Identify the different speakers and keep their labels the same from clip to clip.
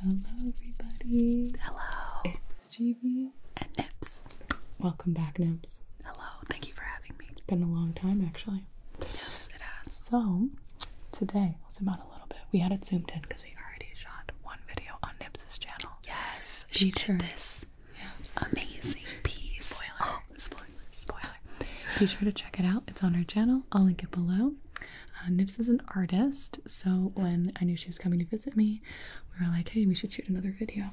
Speaker 1: Hello, everybody. Hello. It's GB and Nips. Welcome back, Nips. Hello. Thank you for having me. It's been a long time, actually. Yes, it has. So, today, I'll zoom out a little bit. We had it zoomed in because we already shot one video on Nips's channel. Yes, she did this amazing piece. Spoiler. Oh, spoiler. Spoiler. Be sure to check it out. It's on her channel. I'll link it below. Uh, Nips is an artist, so when I knew she was coming to visit me, we were like, hey, we should shoot another video.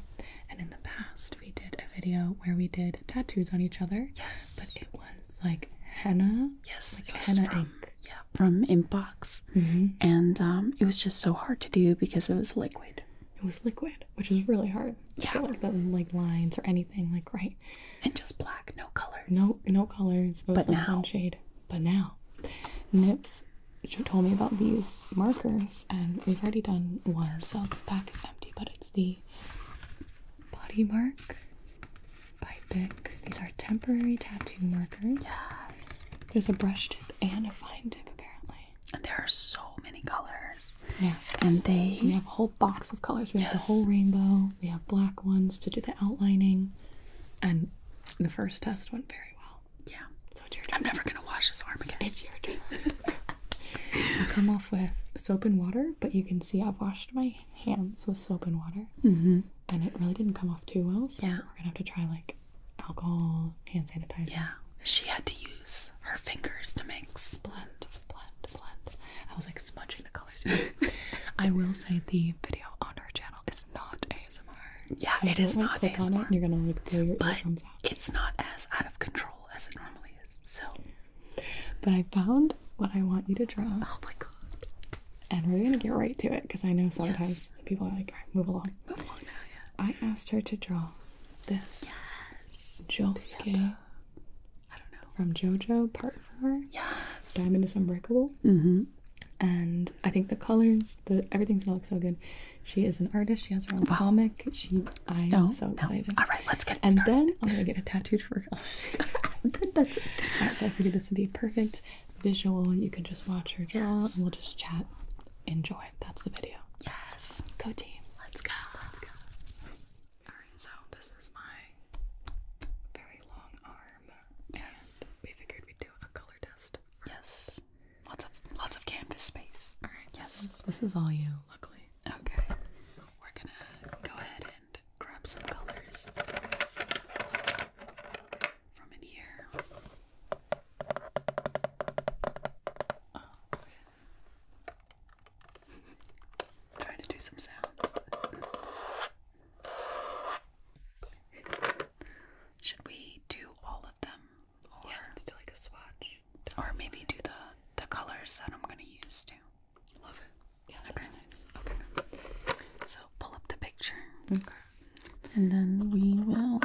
Speaker 1: And in the past, we did a video where we did tattoos on each other. Yes. But it was like henna. Yes, it was henna from, ink. Yeah, from Impbox. Mm-hmm. And um, it was just so hard to do because it was liquid. It was liquid, which is really hard. Yeah, like, that, like lines or anything, like right. And just black, no colors. No, no colors. but like now, shade. But now, Nips told me about these markers, and we've already done one, so the pack is empty, but it's the Body Mark by Bic. These are temporary tattoo markers. Yes. There's a brush tip and a fine tip, apparently. And there are so many colors. Yeah. And they. we have a whole box of colors. We yes. have the whole rainbow. We have black ones to do the outlining, and the first test went very well. Yeah. So it's your turn. I'm never gonna wash this arm again. It's your turn. I come off with soap and water, but you can see I've washed my hands with soap and water, mm-hmm. and it really didn't come off too well. yeah. we're gonna have to try like alcohol, hand sanitizer. Yeah. She had to use her fingers to mix. Blend, blend, blend. I was like smudging the I will say the video on our channel is not ASMR. Yeah, it is not ASMR. you're gonna like but it's not as out of control as it normally is. So, but I found what I want you to draw. Oh my god! And we're gonna get right to it because I know sometimes people are like, "Move along." Move along I asked her to draw this. Yes. Jolske. I don't know. From JoJo Part Four. Yes. Diamond is Unbreakable. Mm-hmm and I think the colors, the everything's gonna look so good. She is an artist. She has her own comic. She, I am oh, so excited. All right, let's get. started. And then I'm gonna get a tattooed for. That's it. I figured this would be perfect visual. You can just watch her draw, we'll just chat. Enjoy. That's the video. Yes. Go team. Let's go. Let's go. All right. So this is my very long arm Yes. we figured we'd do a color test. Yes. Lots of lots of canvas space. All right. Yes. This is, this is all you. Luckily. Okay. We're gonna go ahead and grab some colors from in here. Oh. Trying to do some sound. Should we do all of them? Or do like a swatch. Or maybe do the the colors that I'm gonna use too. Love it. Yeah, okay. nice. Okay. So pull up the picture. Okay. And then we will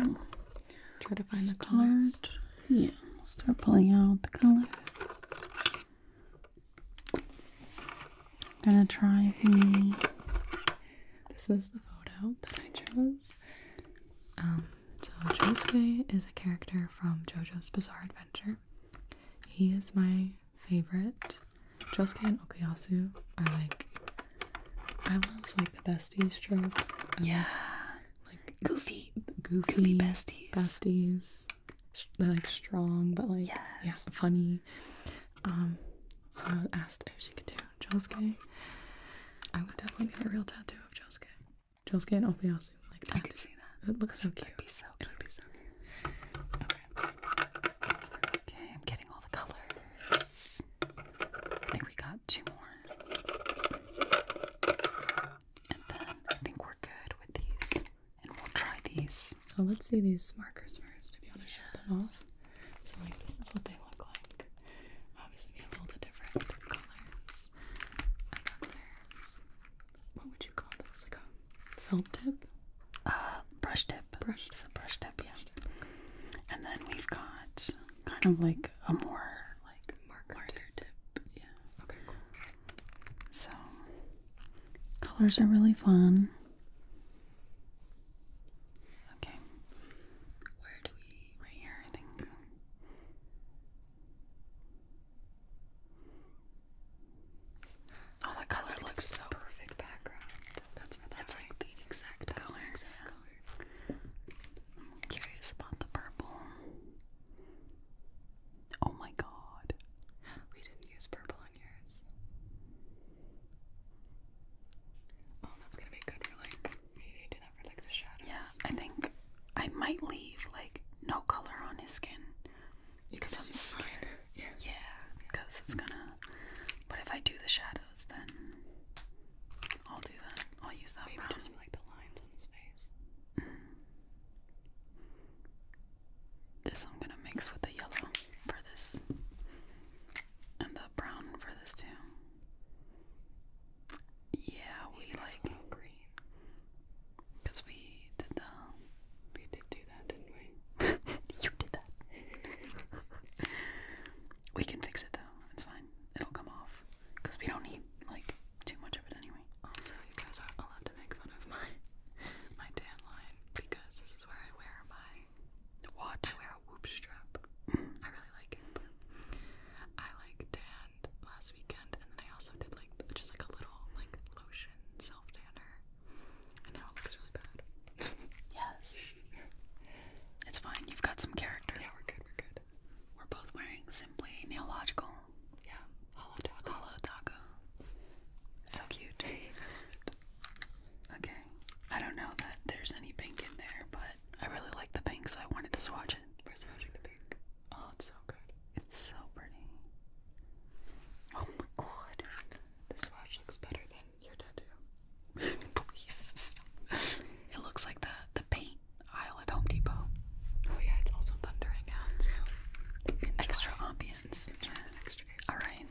Speaker 1: try to find the colors. Yeah, start pulling out the colors. I'm gonna try the. This is the photo that I chose. Um, so Josuke is a character from JoJo's Bizarre Adventure. He is my favorite. Josuke and Okuyasu are like. I love like the besties trope. yeah. like goofy, goofy, goofy besties. Besties. They're like strong, but like yeah, funny. Um, so I asked if she could do Josuke. I would definitely get a real tattoo of Josuke. Josuke and Opiasu. Like I could see that. It looks so cute. so cute. Okay. Okay, I'm getting all the colors. I think we got two more. And then I think we're good with these and we'll try these. So let's see these markers first, if you want to show shut them off. So like this is what they look like. Obviously we have all the different colors and then there's, what would you call this, like a felt tip? Uh, brush tip. Brush tip. It's a brush tip, yeah. And then we've got kind of like a more like marker, tip. Yeah. Okay, So colors are really fun. Okay. Where do we right here, I think. Oh, that color looks so perfect background. That's for That's like the exact color. curious about the purple. Oh my god. We didn't use purple Oh, that's gonna be good for like. do that for like the shadows. Yeah, I think I might leave like no color on his skin because I'm scared. Yeah, because it's gonna. But if I do the shadows, then I'll do that. I'll use that. Maybe brown. just like the lines on his face. Mm-hmm. This I'm gonna mix with the yellow for this, and the brown for this too. Yeah, we like green. Cause we did the. We did do that, didn't we? you did that. we can fix it though. It's fine. It'll come off. Cause we don't need like too much of it anyway. Also, you guys are allowed to make fun of my my tan line because this is where I wear my watch. wear a whoop strap. I really like it. I like tanned last weekend, and then I also did like just like a little like lotion self tanner, and now it looks really bad. yes. It's fine. You've got some character. Yeah, we're good. We're good. We're both wearing simply neological. Yeah. Hollow taco. Hollow taco. So cute. Okay. I don't know that there's any pink in there, but I really like the pink, so I wanted to swatch it. We're swatching the pink. Oh, it's so good. It's so pretty. Oh my god. The swatch looks better than your tattoo. Please stop. It looks like the the paint aisle at Home Depot. Oh yeah, it's also thundering out, so enjoy. extra ambience. Yeah. Extra Alright.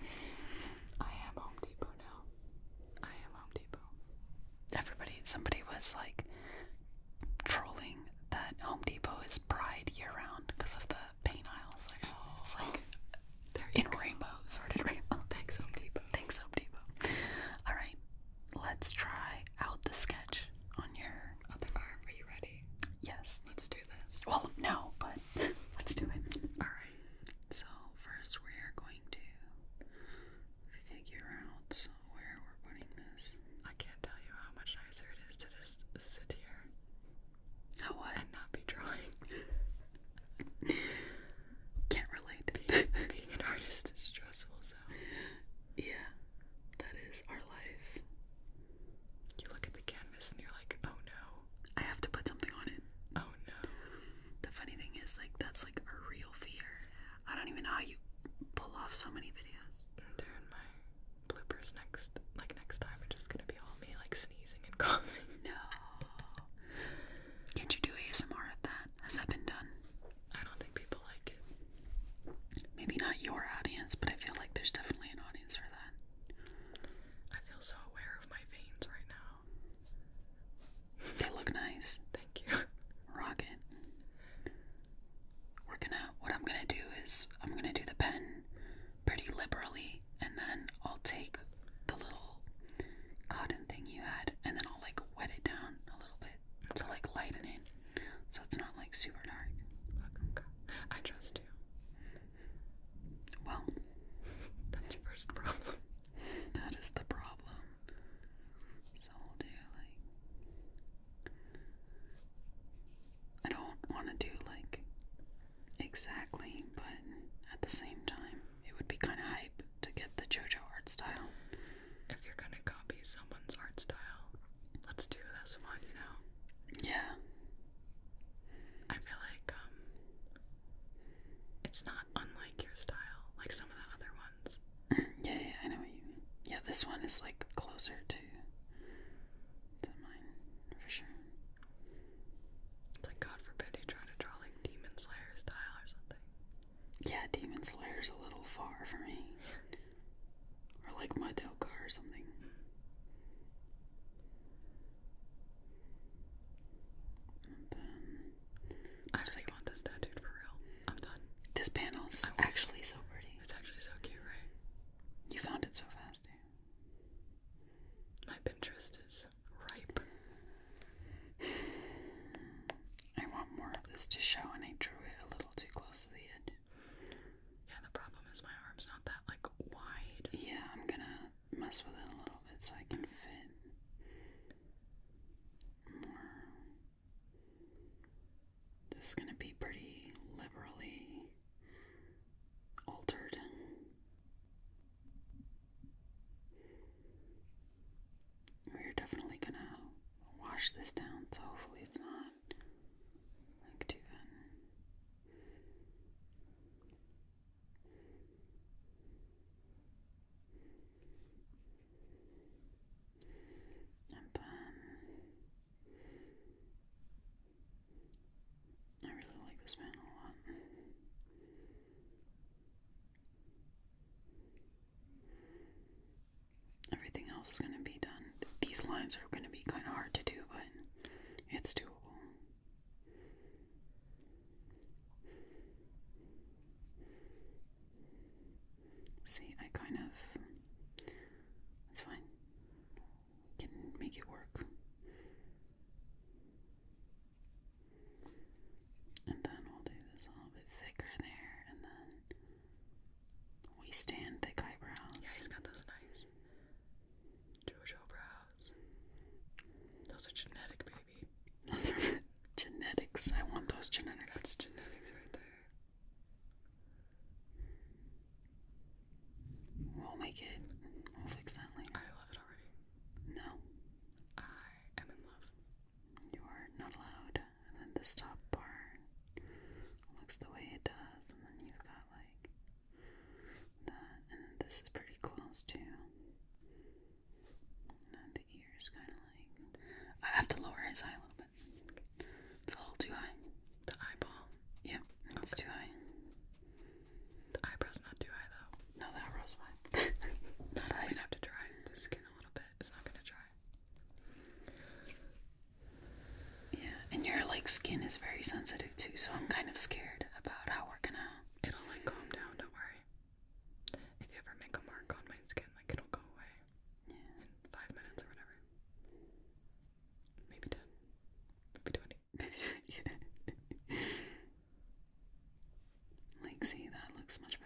Speaker 1: I am Home Depot now. I am Home Depot. Everybody, somebody was like trolling that Home Depot is Pride year round because of the paint aisles. Like, It's like they're in rainbow, sorted rainbow. Thanks, Home Depot. Thanks, Home Depot. All right, let's try out the sketch on your other arm. Are you ready? Yes, let's do do Well, no, but let's do it. Alright, so first we are going to figure out where we're putting this. I can't tell you how much nicer it is to just sit here. How And not be drawing. Can't relate. Being, being an artist is stressful, so. Yeah, that is our life. You look at the canvas and you're like, oh no. I have to put something on it. Oh no. The funny thing is, like, that's like a real fear. I don't even know how you pull off so many videos. Dude, my bloopers next, like, next time are just gonna be all me, like, sneezing and coughing. No. Can't you do ASMR at that? Has that been done? I don't think people like it. Maybe not your audience, but I feel like there's definitely an audience for that. I feel so aware of my veins right now. They look nice. Thank you. Rocket. We're gonna, what I'm gonna do is, I'm gonna do the pen pretty liberally, and then I'll take the little cotton thing you had, and then I'll like wet it down a little bit to like lighten it so it's not like super dark. Okay. I trust you. Well, that's the first problem. that is the problem. So we'll do like. I don't want to do like exactly, but at the same time, it would be kind of hype to get the JoJo art style. If you're gonna copy someone's art style, let's do this one, you know? Yeah. I feel like um it's not unlike your style, like some of the other ones. yeah, yeah, I know you Yeah, this one is like closer to to mine for sure. like God forbid you try to draw like Demon Slayer style or something. Yeah, Demon Slayer's a little far for me. or like Madoka or something. Mm. And then I actually want this tattooed for real. I'm done. This panel's actually so pretty. It's actually so cute, right? You found it so fast, My Pinterest is ripe. I want more of this to show, and I drew it a little too close to the edge. Yeah, the problem is my arm's not that like wide. Yeah, I'm gonna mess with it a little bit so I can fit more. This is going to be pretty liberally altered. We're definitely going to wash this down, so hopefully it's not like too thin. And then I really like this man a lot. Everything else is going to be done. These lines are going to be kind of hard to do, but it's doable. See, I kind of. It's fine. We can make it work. And then we'll do this a little bit thicker there, and then we stand thick eyebrows. Yeah, he got those nice Jojo brows. Those are genetic, baby. Those are genetics. I want those genetics. That's genetics right there. We'll make it. We'll fix that later. I love it already. No. I am in love. You are not allowed. And then this top part looks the way it does. And then you've got like that, and then this is pretty close too. And the ears kind of like I have to lower his eye a little bit. It's a little too high. The eyeball. Yep, it's too high. The eyebrow's not too high though. No, the eyebrow's fine. that I would have to dry the skin a little bit. It's not gonna dry. Yeah, and your like skin is very sensitive too, so I'm kind of scared about how we're gonna. It'll like calm down. Don't worry. If you ever make a mark on my skin, like it'll go away yeah. five minutes or whatever. Maybe ten. Maybe twenty. yeah. Like, see, that looks much better.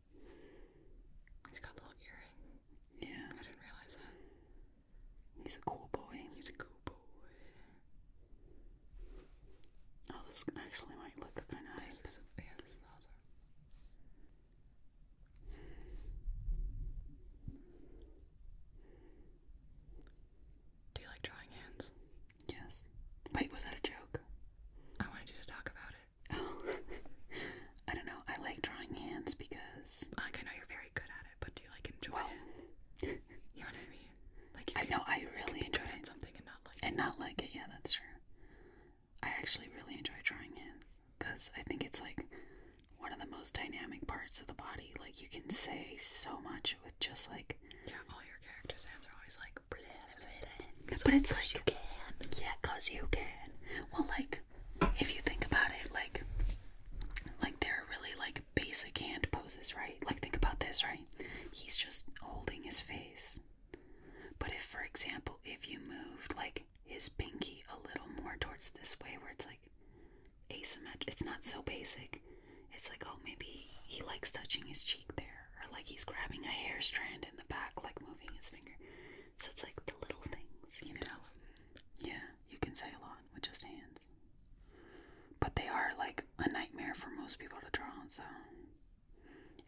Speaker 1: He's got a little earring. Yeah. I didn't realize that. He's a cool boy. He's a cool boy. Oh, this actually might look kind of nice. yeah, this is awesome. Do you like drawing hands? Yes. Wait, was that a joke? I wanted you to talk about it. Oh. I don't know. I like drawing hands because. Like, I know you're very good at it, but do you, like, enjoy it? You know what I mean? Like, I know I really enjoy it. something and not like And not like it, yeah, that's true. I actually really enjoy drawing hands because I think it's, like, one of the most dynamic parts of the body. Like, you can say so much with just, like, yeah, all your characters' hands are always like, but it's like, you can. yeah, cause you can. Well, like, if you think about it, like, like they're really like basic hand poses, right? Like, think about this, right? He's just holding his face. But if, for example, if you moved like his pinky a little more towards this way, where it's like asymmetric, it's not so basic. It's like, oh, maybe he likes touching his cheek there, or like he's grabbing a hair strand in the back, like moving his finger. So it's like the little things, you know? Yeah, you can say a lot with just hands. But they are like a nightmare for most people to draw, so.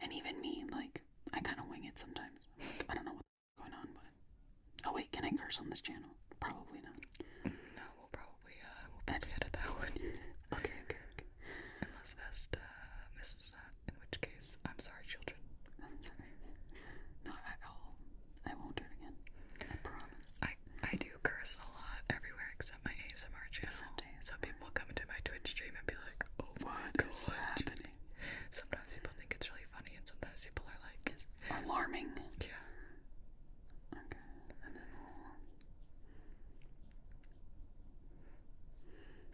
Speaker 1: And even me, like, I kind of wing it sometimes. Like, I don't know what's going on, but. Oh, wait, can I curse on this channel? Probably not. No, we'll probably, uh, we'll probably edit that one. okay, okay, okay. Unless Vesta misses in which case, I'm sorry, children. Not at all. I won't do it again. I promise. I, I do curse a lot everywhere except my ASMR channel. So people come into my Twitch stream and be like, oh my happening? Sometimes people think it's really funny, and sometimes people are like, it's alarming. Yeah. Okay,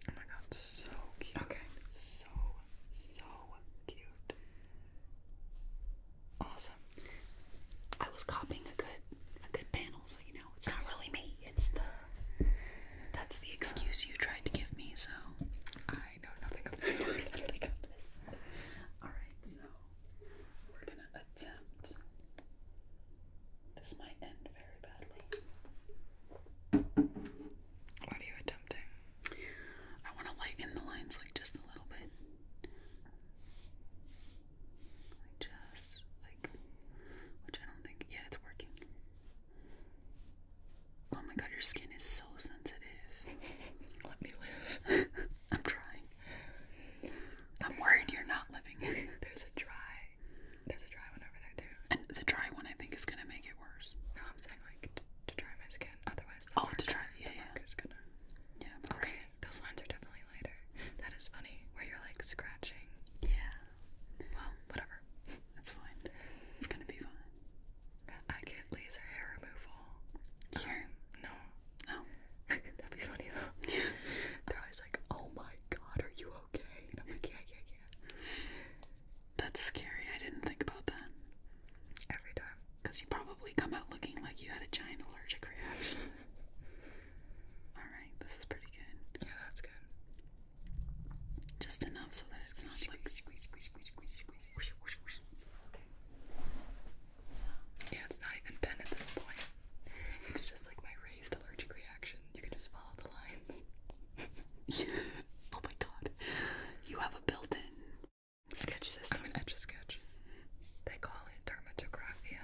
Speaker 1: Oh my god, so cute. Okay. So, so cute. Awesome. I was copying a good a good panel, so you know, it's not really me. It's the that's the excuse you tried to give me, so I know nothing of this. Alright, so we're gonna attempt this might end very badly. What are you attempting? I want to lighten the lines like just a little bit. Like just like, which I don't think, yeah, it's working. Oh my god, your skin is so sensitive. Let me live. I'm trying. I'm worried you're not living. There's a dry there's a dry one over there too. And the dry one, I think, is gonna make it worse. No, I'm saying like to, to dry my skin. Otherwise, the oh, mark, to dry, yeah, yeah. Mark gonna. Yeah. okay. Those lines are definitely lighter. That is funny. Where you're like scratching. Yeah. Well, whatever. That's fine. It's gonna be fine. I get laser hair removal. Yeah. Um, no. Oh. That'd be funny though. They're always like, oh my god, are you okay? yeah, yeah, yeah. That's scary. I didn't think about that. Every time. Because you probably come out looking like you had a giant allergic reaction. Alright, this is pretty good. Yeah, that's good. Just enough so that it's not like. Yeah, it's not even pen at this point. It's just like my raised allergic reaction. You can just follow the lines. oh my god. You have a built in sketch system. I mean, sketch. They call it dermatographia.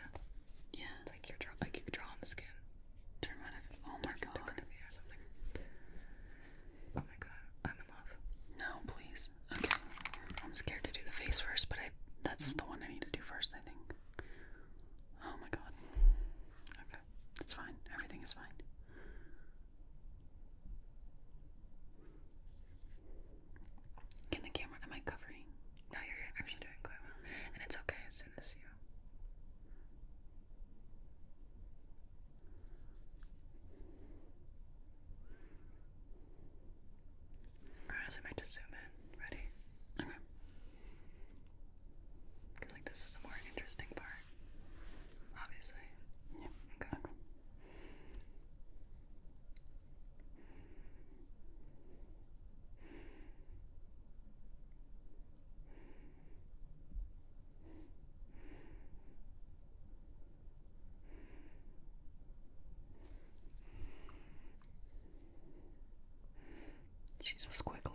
Speaker 1: Yeah. It's like, you draw like you draw on the skin. Dermatography. Oh my god. Oh my god. I'm in love. No, please. Okay. I'm scared to do the face first, but I that's the one I need to do first, I think. Oh my god. Okay, it's fine. Everything is fine. Can the camera, am I covering? No, you're actually doing quite well. And it's okay as soon as you. Alright, I might just zoom in. Ready? Okay. Cause like this is a more interesting part, obviously. Yeah. Okay. okay. Okay. She's a squiggler.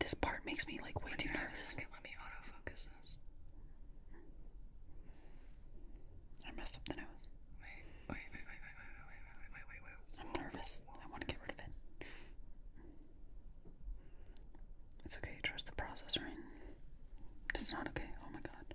Speaker 1: This part makes me like way too nervous. let me autofocus this. I messed up the nose. wait, wait, wait, wait, wait, wait, wait, wait, wait, wait. I'm nervous. I want to get rid of it. It's okay. Trust the process, right? It's not okay. Oh my god.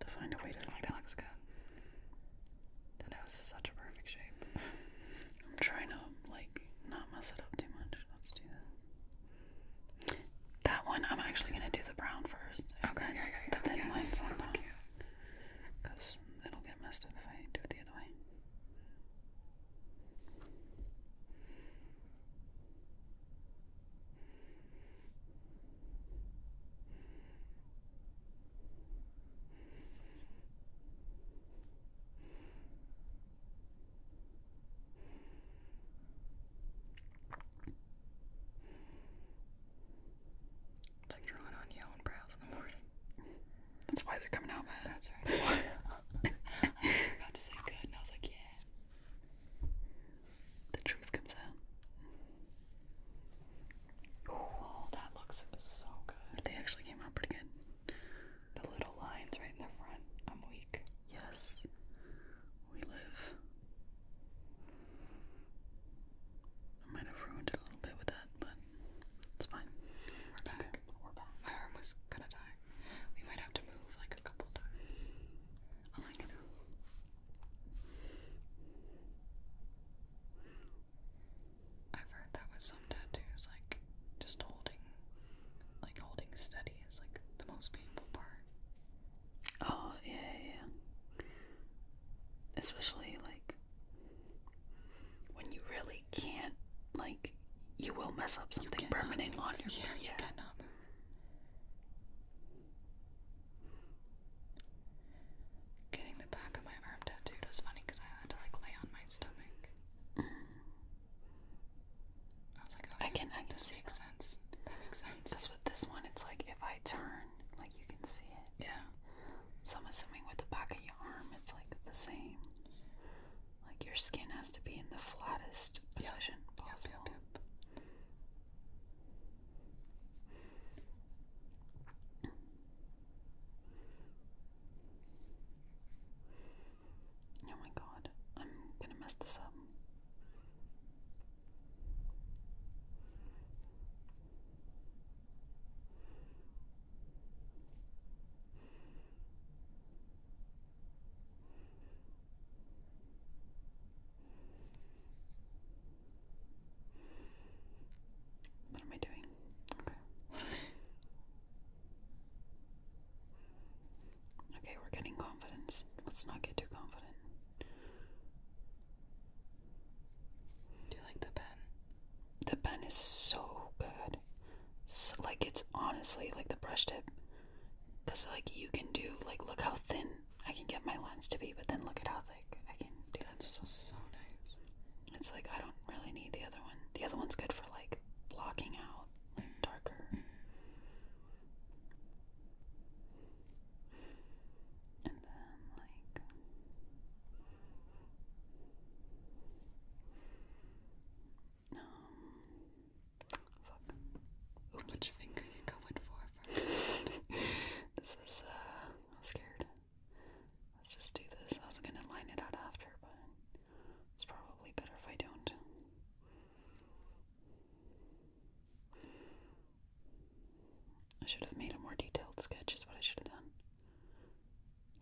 Speaker 1: To find a way to like that looks good. That house is such a perfect shape. I'm trying to like not mess it up too much. Let's do that. That one, I'm actually gonna do the brown first. Okay, The thin yes. on that. Because it'll get messed up if I do it the other way. It's like drawing on your own brows in the morning. That's why they're coming out, man. That's right. I was about to say good, and I was like, yeah. The truth comes out. Oh, that looks so good. They actually came out pretty good. The little lines right in the front. I'm weak. Yes. We live. I might have ruined it a little bit with that, but it's fine. We're back. We're back. My arm was gonna die. We might have to move like a couple times. I like it. I've heard that with some tattoos, like just holding, like holding steady is like the most painful part. Oh yeah, yeah. Especially like when you really can't, like you will mess up something permanent on your. Yeah, Getting the back of my arm tattooed was funny because I had to like lay on my stomach. I oh, can, I can this makes sense. That makes sense. That's what this one, it's like if I turn, like you can see it. Yeah. So I'm assuming with the back of your arm, it's like the same. Like your skin has to be in the flattest position yep. Yep, yep, yep. Oh my god, I'm gonna mess this up. What am I doing? Okay. Okay, we're getting confidence. Let's not get too confident. Do you like the pen? The pen is so good. So, like, it's honestly like the brush tip. Because, like, you can do, like, look how thin I can get my lens to be, but then look at how thick I can do lenses so, so nice. It's like I don't really need the other one. The other one's good for like blocking out like darker. And then like um fuck. Which finger you going for? this is uh I'm scared. Let's just do this. I was gonna line it out after, but it's probably better if I don't. I should have made a more detailed sketch, is what I should have done.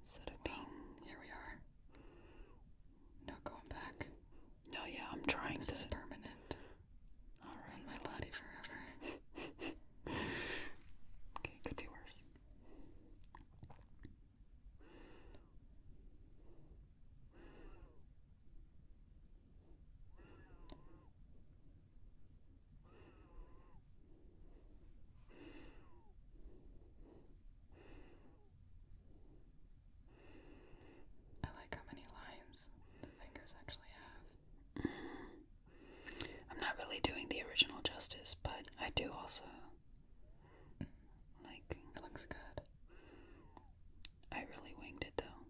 Speaker 1: Instead of being. here we are. Not going back. No, yeah, I'm trying This is permanent. I'll ruin my body forever. okay, could be worse. I like how many lines the fingers actually have. I'm not really doing the original justice, but I do also. Like. It looks good. I really winged it though.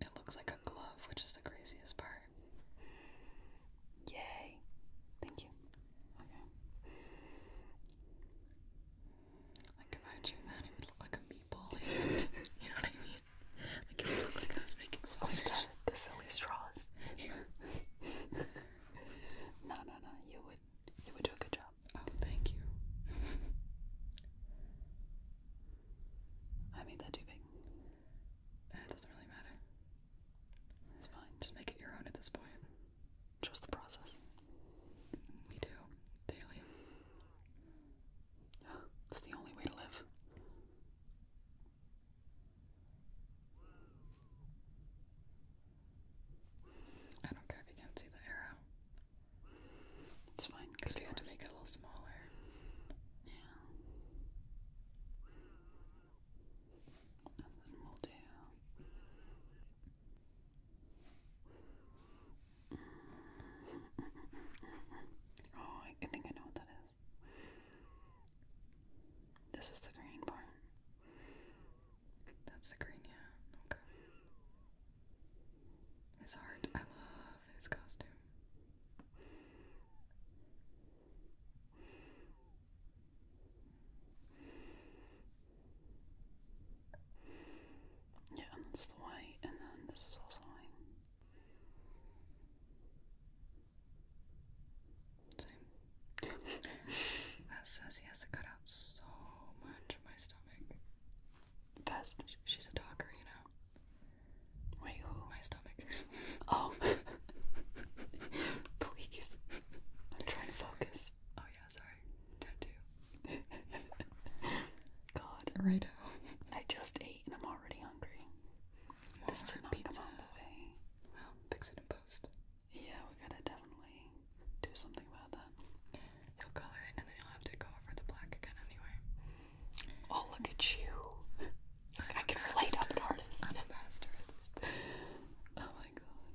Speaker 1: It looks like a glove, which is the craziest part. Yay. Thank you. Okay. Like if I drew that, it would look like a meatball. you know what I mean? I was making oh sausage. Oh God, the silly straws. Yeah. no, no, no. You would, you would do a good job. Oh, thank you. I made that too big. That doesn't really matter. It's fine. Just make it your own at this point. Just the process. We mm, do. Daily. It's the only way to live. I don't care if you can't see the arrow. It's fine because we had to make it a little smaller. Yeah. we'll do. Oh, I think I know what that is. This is the green part. That's the green, yeah. Okay. His heart. I love his costume. Yeah, that's the white, and then this is also white. Same. that says he has to cut out so much of my stomach. Best. She's a talker, you know. Wait, who? My stomach. Oh. Please. I'm trying to focus. Oh yeah, sorry. Tattoo. God. Righto. I just ate and I'm already hungry. This Well, this took pizza. Away. Well, fix it in post. Yeah, we gotta definitely do something about that. You'll color it, and then you'll have to go over the black again anyway. Oh, look at you! like I can relate. I'm an artist. I'm a master oh my god.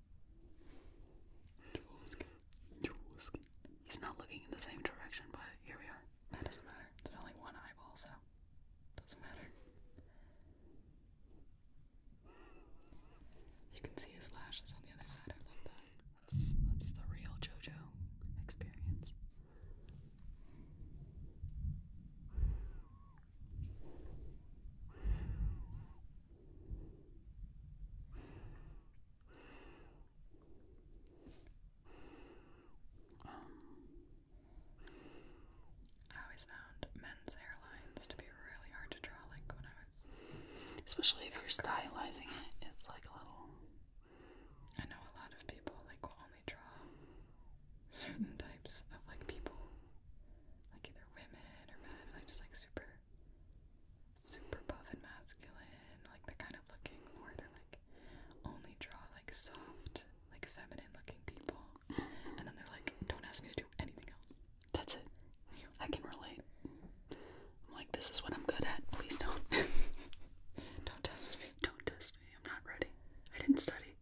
Speaker 1: Jawskin. Jawskin. He's not looking in the same direction, but here we are. That doesn't matter. It's only one eyeball, so doesn't matter. You can see his lashes on the other side. I love that. That's that's the real JoJo experience. Um, I always found men's hairlines to be really hard to draw, like when I was. Especially if you're stylizing it, it's like a little. I know a lot of people like will only draw certain types of like people, like either women or men, like just like super super buff and masculine, like the kind of looking, or they like only draw like soft, like feminine looking people, and then they're like, don't ask me to do anything else. That's it. I can relate. I'm like, this is what I'm good at. Please don't. don't test me. Don't test me. I'm not ready. I didn't study.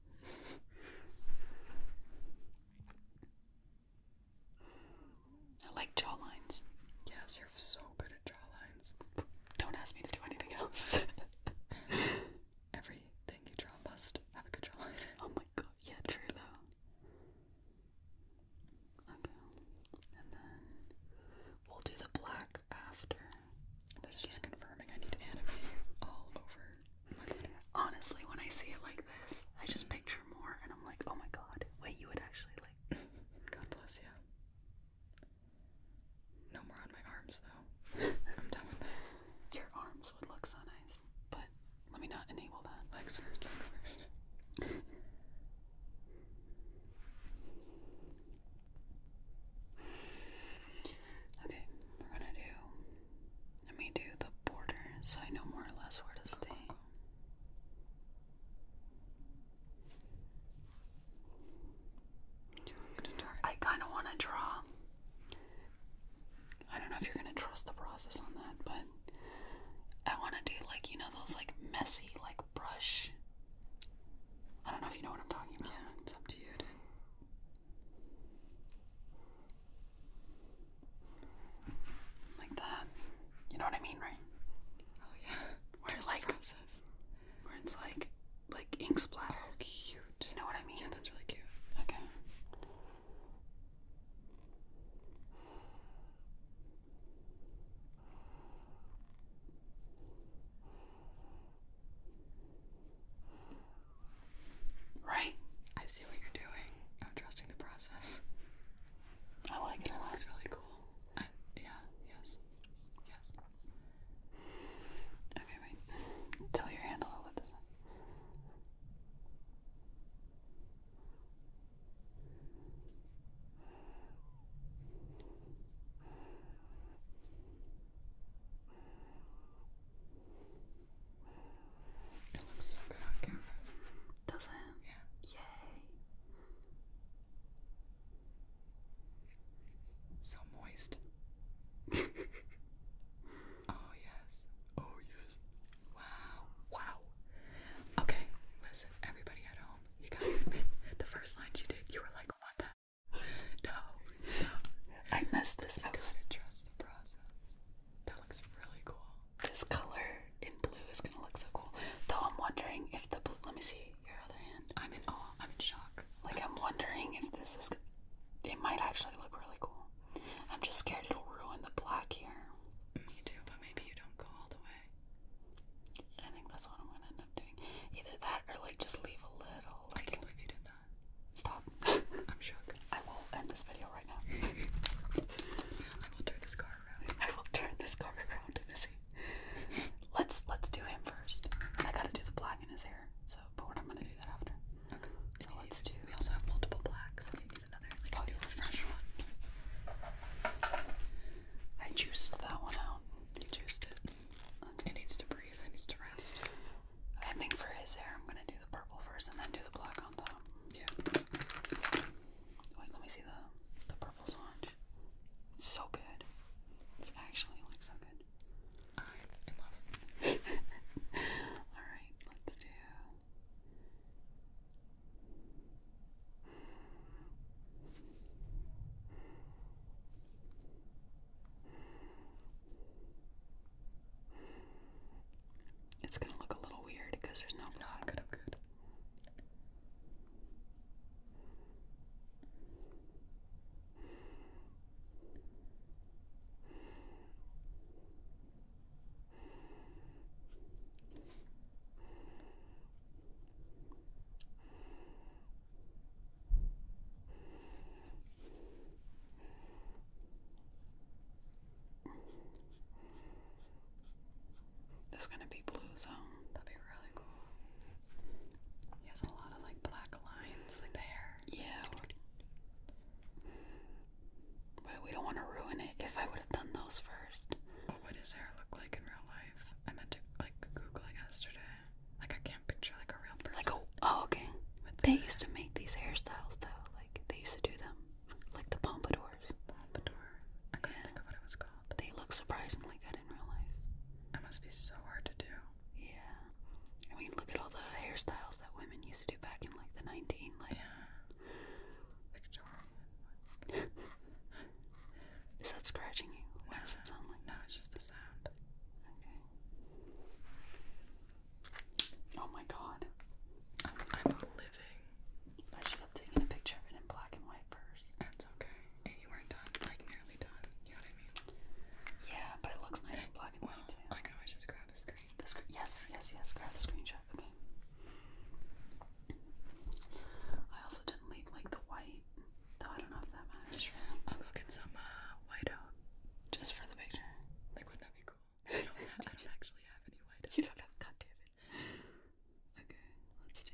Speaker 1: I like jawlines. Yes, you're so good at jawlines. Don't ask me to do anything else. Everything you draw must have a good jawline. Oh my god, yeah, true though. Okay. And then we'll do the black after. This is just confirming I need to anime all over Honestly, when I see it like this, I just mm-hmm. picture more and I'm like, oh my god, Wait, you would actually like. God bless you. No more on my arms, though. I'm done with that. Your arms would look so nice, but let me not enable that. Legs first, legs first. okay, we're gonna do. Let me do the border so I know more or less where to stay. I kind of want to draw. I don't know if you're going to trust the process on that, but I want to do like, you know, those like messy, like brush. I don't know if you know what I'm talking about. Yeah, it's up to you. Like that. You know what I mean, right? Oh yeah. Where it's like Where it's like like ink splatter. Oh, cute. You know what I mean? Yeah, that's really cute. Okay. Right? I see what you're doing. I'm trusting the process. I like it. I like it's really cool. yeah. Yes. Yes. Okay. Wait. Tell your hand a this it looks so good on camera. Does it? Yeah. Yay. So moist. oh yes. Oh yes. Wow. Wow. Okay, listen, everybody at home, you got the first line you did, you were like, what the no. So I messed this up. That looks really cool. This color in blue is gonna look so cool. Though I'm wondering if the blue. Let me see your other hand. I'm in awe. I'm in shock. Like I'm wondering if this is. It might actually look really cool. I'm just scared it'll ruin the black here. Me too, but maybe you don't go all the way. I think that's what I'm gonna end up doing. Either that or like just leave a little. Like, I can believe you did that. Stop. I'm shocked. I will end this video right now. I will do this car I will turn this car around, Missy. Let's let's do him first. I gotta do the black in his hair. So, but what I'm gonna do that after. Okay. So let's do. We also have multiple blacks. So we need another. Like oh, a new fresh one. I juiced that one out. You juiced it. It needs to breathe. It needs to rest. I think for his hair, I'm gonna do the purple first and then do the black on top. Yeah. Wait, let me see the the purple sponge. It's so good. It's actually like so good. I'm in All right, let's do. It's gonna look a little weird because there's no blood. I'm good, I'm good. This is gonna be blue zone. That'd be really cool. He has a lot of like black lines, like Yeah. But we don't want to ruin it. If I would have done those first. What would hair look like in real life? I meant to like Google it yesterday. Like I can't picture like a real person. Like a oh, oh okay. They used to make these hairstyles though. Like they used to do them. Like the pompadours. Pompadours. I can not think of what it was called. They look surprisingly good in real life. That must be so hard to do. Yeah. I mean, look at all the hairstyles that women used to do back in like the 19, like. Yeah. Is that scratching you? What does it sound like? No, it's just the sound. Okay. Oh my god. I'm, I'm living I should have taken a picture of it in black and white first. That's okay. And you weren't done, like nearly done. You know what I mean? Yeah, but it looks nice in black and white I can always just grab a screen. The yes, yes, yes. Grab a screenshot. Okay. I also didn't like the white, though. I don't know if that matters. I'll go some uh, just for the picture. Like, would that be cool? I don't, actually have any white. You don't have. God damn it. Okay, let's do.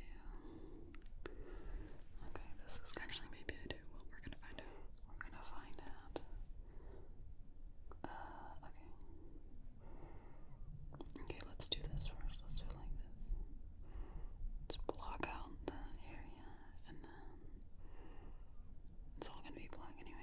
Speaker 1: Okay, this is actually maybe I do. Well, we're gonna find out. We're gonna find out. Uh, okay. Okay, let's do this first. Let's do like this. Let's block out the area, and then it's all gonna be black anyway.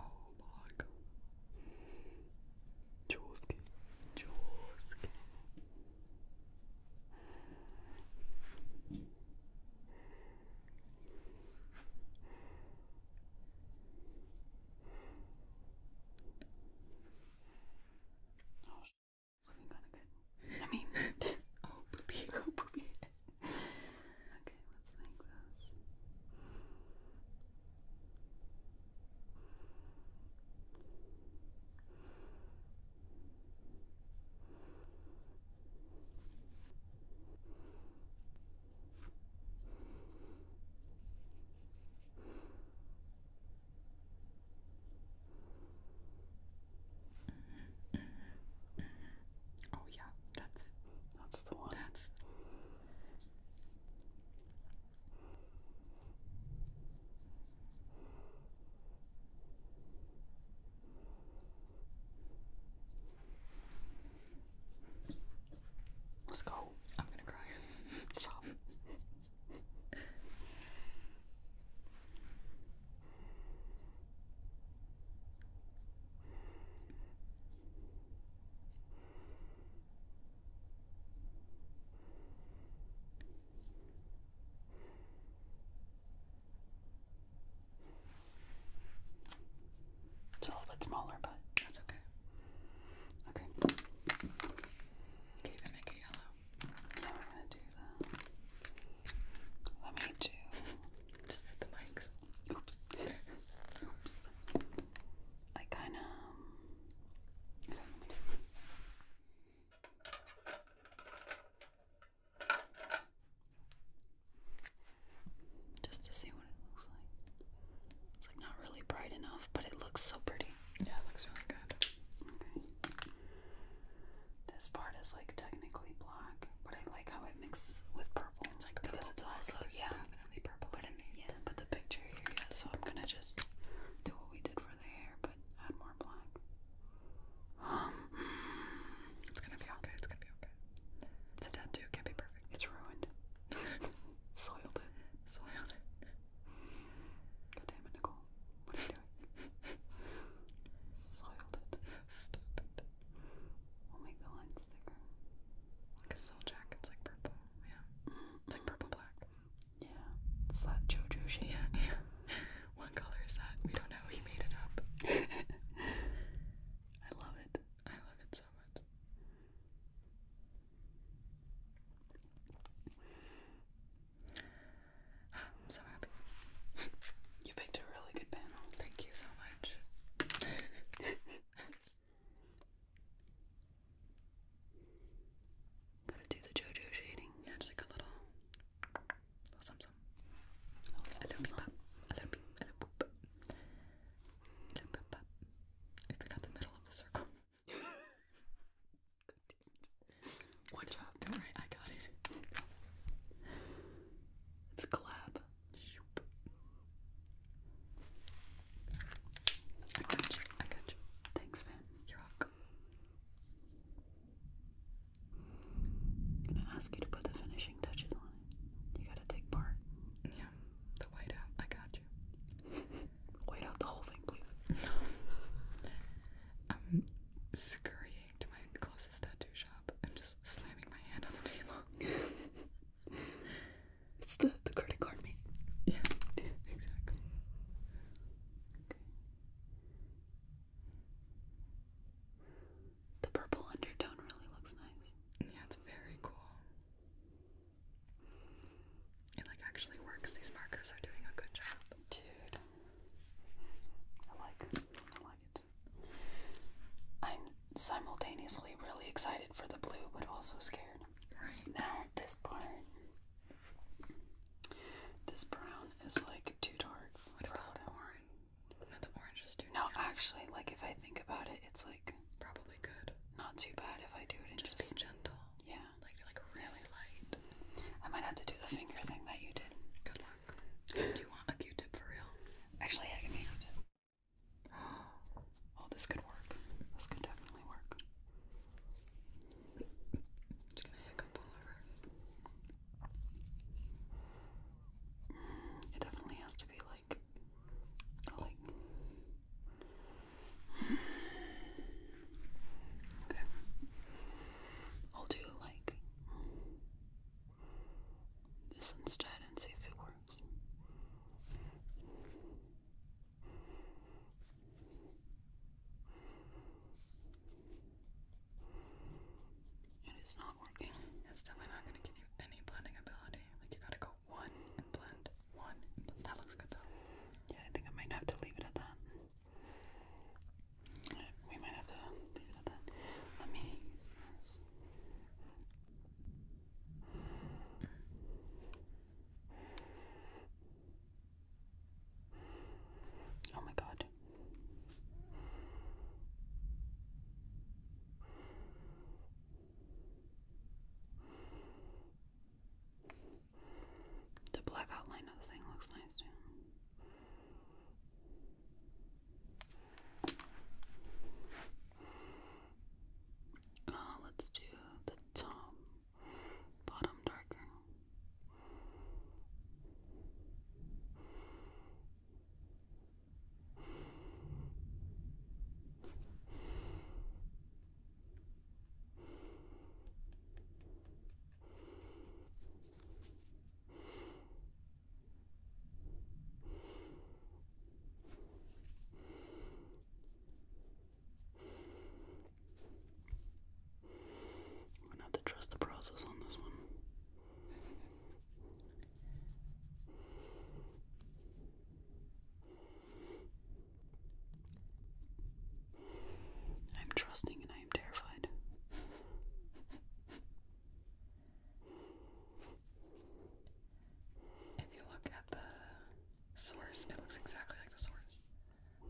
Speaker 1: Oh my god. Jawski. Jawski. Oh, it's looking kind of good. I mean, oh, poopy, oh, poopy okay, let's make this. Mm -hmm, mm -hmm, mm -hmm. Oh, yeah, that's it. That's the one. Let's go. I'm gonna cry. Stop. It's a little bit smaller, but that's okay. Okay. You can even make it yellow. Yeah, we're gonna do that. Let me get you the mics. Oops. Oops. I kind of. Just to see what it looks like. It's like not really bright enough, but it looks so pretty. Yeah, it looks really good. Okay. This part is like technically but I like how it mixes with purple. It's like because it's also yeah, definitely purple. But yeah, but the picture here, yeah. So I'm gonna just do what we did for the hair, but add more black. it's gonna be okay. It's gonna be okay. The tattoo can be perfect. It's ruined. Soiled it. Soiled it. God damn it, Nicole. What are you doing? Soiled it. Stupid. We'll make the lines thicker. Because his jacket's like purple. Yeah. Mm-hmm. like purple black. Yeah. It's JoJo yeah. What color is that? We don't know. He made it up. I love it. I love it so much. I'm so happy. You picked a really good panel. Thank you so much. Gotta do the JoJo shading. just like a little, little some some. Little some I forgot the middle of the circle. Good job, don't worry, I got it. It's a collab. I got you. I got you. Thanks, man. You're welcome. gonna ask you to put the finishing touches on it. You gotta take part. Yeah, the whiteout. I got you. White out the whole thing, please. I'm scurrying to my closest tattoo shop. I'm just slamming my hand on the table. it's the, the credit card me. Yeah, exactly. Okay. The purple undertone really looks nice. Yeah, it's very cool. It like actually works. These markers are doing a good job. Dude. I like I like it. I'm simultaneously really excited for the blue, but also scared. Now, this part, this brown is like too dark. What about what orange? the orange is too No, actually, like if I think about it, it's like probably good. Not too bad if I do it just, be gentle. Yeah. Like like really light. I might have to do the finger thing that you did. Do you want a Q-tip for real? Actually, I can hand. Oh, this could work. This could definitely work. Just gonna hiccup all over. It definitely has to be like, like. Okay. I'll do like this instead and see if it works. It is not working. It's definitely not going to give you any blending ability. Like, you gotta go one and blend. One. That looks good though. Yeah, I think I might have to leave it at that. We might have to leave it at that. Let me use this. Oh my God. The black outline of the thing looks nice too. Uh, let's do the top, bottom darker. I'm gonna have to trust the process on this one. I'm trusting and I am terrified. If you look at the source, it looks exactly like the source.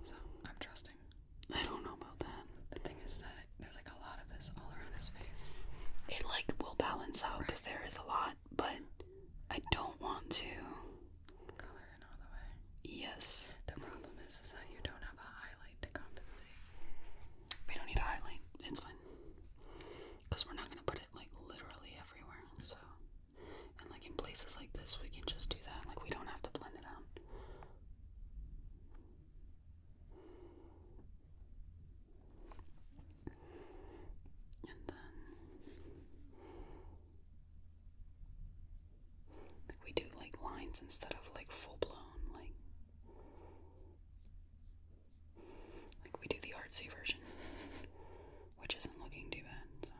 Speaker 1: So I'm trusting. I don't know about that. The thing is that there's like a lot of this all around his face. It like will balance out because there is a lot, but I don't want to color in all the way. Yes. The problem is that you don't have a highlight to compensate. We don't need a highlight. It's fine. Because we're not going to put it like literally everywhere. So, and like in places like this, we can just do that. Like, we don't have to blend it out. And then, like, we do like lines instead of like full blown, like. Like we do the artsy version, which isn't looking too bad.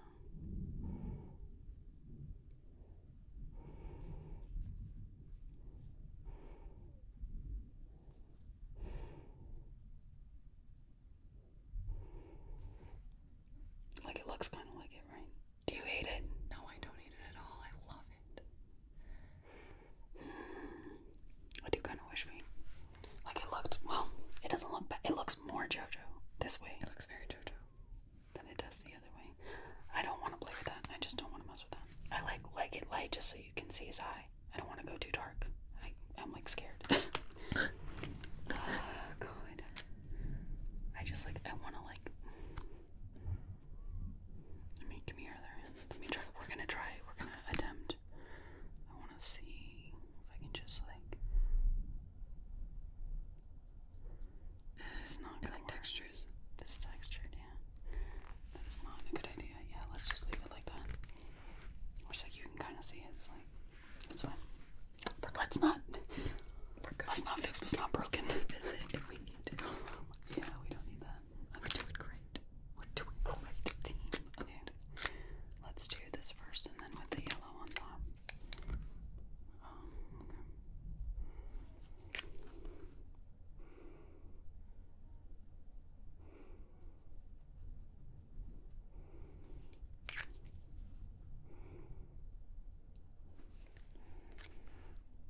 Speaker 1: Like it looks kind of like it, right? Do you hate it? No, I don't hate it at all. I love I do kind of wish me, Like it looked. Well, it doesn't look bad. It looks more JoJo this way. It looks very JoJo than it does the other way. I don't want to play with that. I just don't want to mess with that. I like like it light just so you can see his eye. I don't want to go too dark. I, I'm like scared. oh God. I just like I want to like let me give me your other hand. Let me try. We're gonna try. We're gonna attempt. I want to see if I can just like. It's not gonna textures. This textured, yeah. That's not a good idea. Yeah, let's just leave it like that. Or like you can kind of see it. it's like that's fine. But let's not. Let's not fix what's not broken. Is it if we need Yeah, we don't need that. I'm do it great. What do we call Team. Okay. Let's do this first and then with the yellow on top.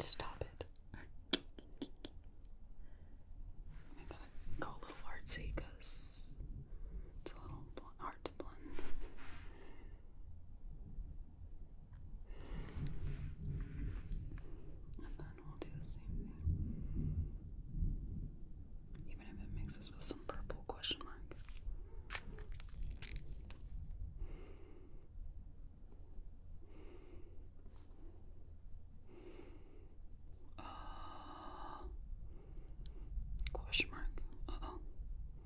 Speaker 1: Stop it. I gotta go a little artsy because it's a little hard to blend. And then we'll do the same thing. Even if it mixes with some purple question mark. Uh, question mark. Uh oh.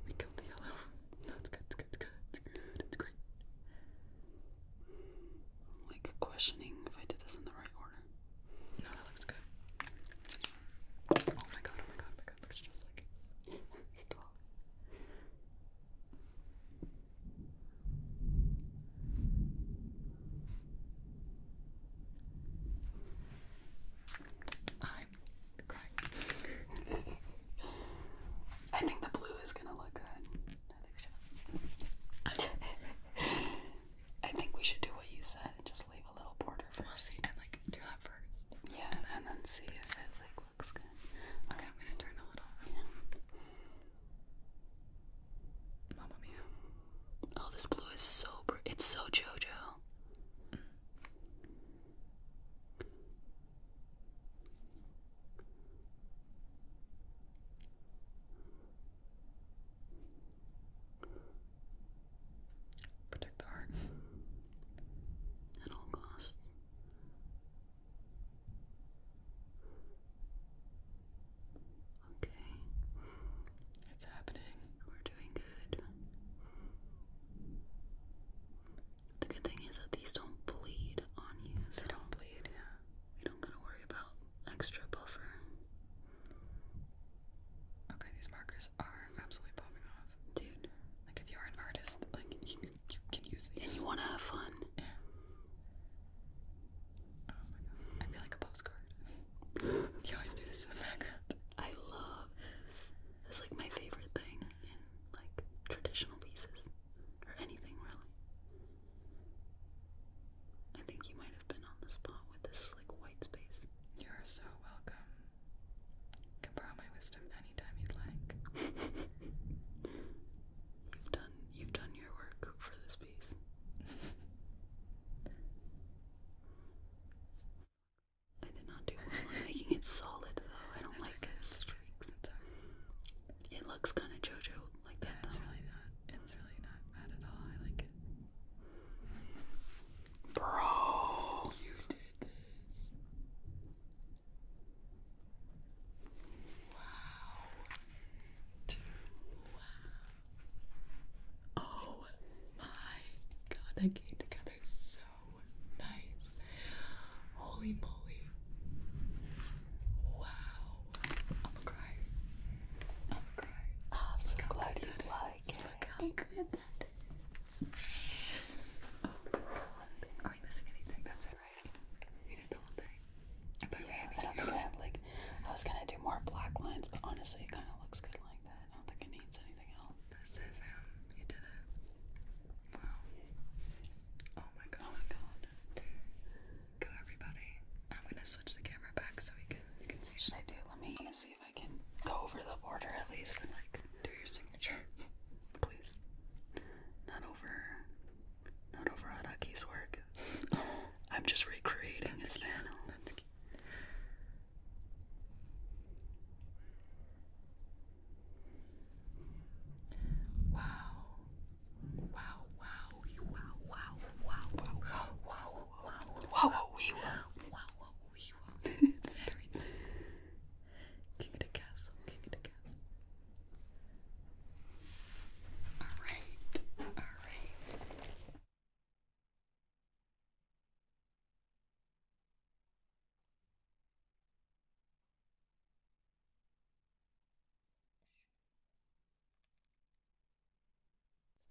Speaker 1: We killed the yellow. No, it's good, it's good, it's good, it's good, it's great. Like questioning if I did this in the right order. No, that looks good. Oh my god, oh my god, oh my god, looks just like stop. I'm I think the blue is gonna look good. I think, we should. do what you said and just leave a little border first. and like do that first. Yeah, and then, see if like looks good. Okay, I'm gonna turn all it off. mia. Oh, this blue is so It's so JoJo. Protect the art at all costs. Okay, it's happening. We're doing good. The good thing is that these don't bleed on you. So don't bleed, yeah. We don't gotta worry about extra buffer. Okay, these markers are absolutely popping off. Dude. Like if you're an artist, like you, can use these. And you wanna have fun. Yeah. Oh my god. I feel like a postcard. you always do this in the background. I love this. It's like my favorite thing in like traditional pieces. Or anything really. I think you might have been on the spot with this like white space. You're so welcome. Can borrow my anytime you'd like. you've done you've done your work for this piece. I did not do well making it solid though. I don't like it. Streaks. It looks kind of JoJo like that. it's really not. It's really not bad at all. I like it. Bro, you did this. Wow. Two. Oh my god, that came together so nice. Holy moly. Wow. I'm going I'm going oh, I'm so glad you like it. Look how good that is. Oh Are we missing anything? That's it. But yeah, I don't think I have like. I was gonna do more black lines, but honestly, it kind of looks good like that. I don't think it needs anything else. That's it, fam. You did it. Wow. Oh my oh god. Oh my god. Go everybody. I'm gonna switch the camera back so we can you can see. Should I do? Let me see if I can go over the border at least. Like do your Please. Not over not over Adaki's work. I'm just recreating his cute. panel. That's cute. Wow. Wow, wow, you wow, wow, wow, wow, wow, wow, wow, wow, we wow, wow, wow, we wow. It's very nice. King of the castle, king of the Alright, alright.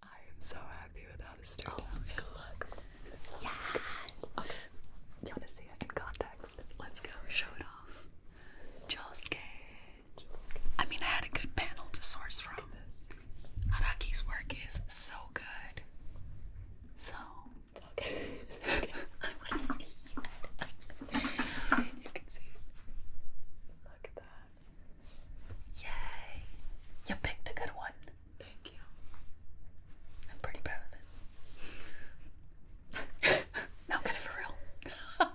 Speaker 1: I am so happy with how this turned oh, It looks yes. You want to see I can contact. Let's go. Show it off. Jaws Cage. I mean, I had a good panel to source from. Araki's work is so good. So. It's okay. I want to see you can see Look at that. Yay. You picked a good one. Thank you. I'm pretty proud of it now get it for real.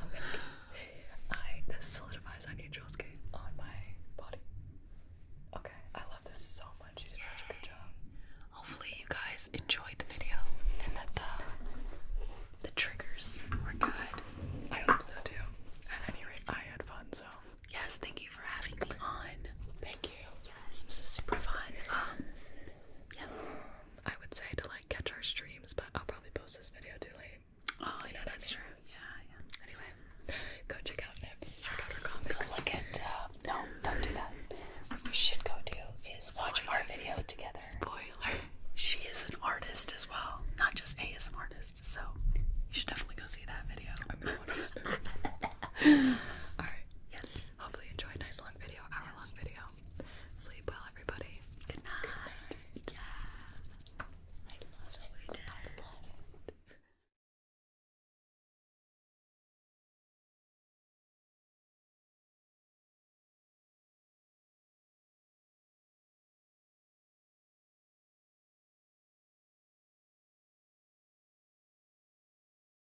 Speaker 1: okay. I this solidifies onion Josuke on my body. Okay, I love this so much. You such a good job. Hopefully you guys enjoyed the video and that the the triggers were good. I hope so too. At any rate, I had fun, so yes, thank you for having me on. Thank you. Yes, this is super fun. Um yeah, I would say to like catch our streams, but I'll probably post this video too late. Oh, you yeah, know that's true. Yeah, yeah. Anyway, go check out Nips. Check out her comics. Go look at. Uh, no, don't do that. What we should go do is watch our video together. Spoiler. She is an artist as well, not just a is an artist. So you should definitely go see that video. All right. Yes. Hopefully you enjoy a nice long video, hour long video. Sleep well everybody. Good night. Yeah. I love it. I love it.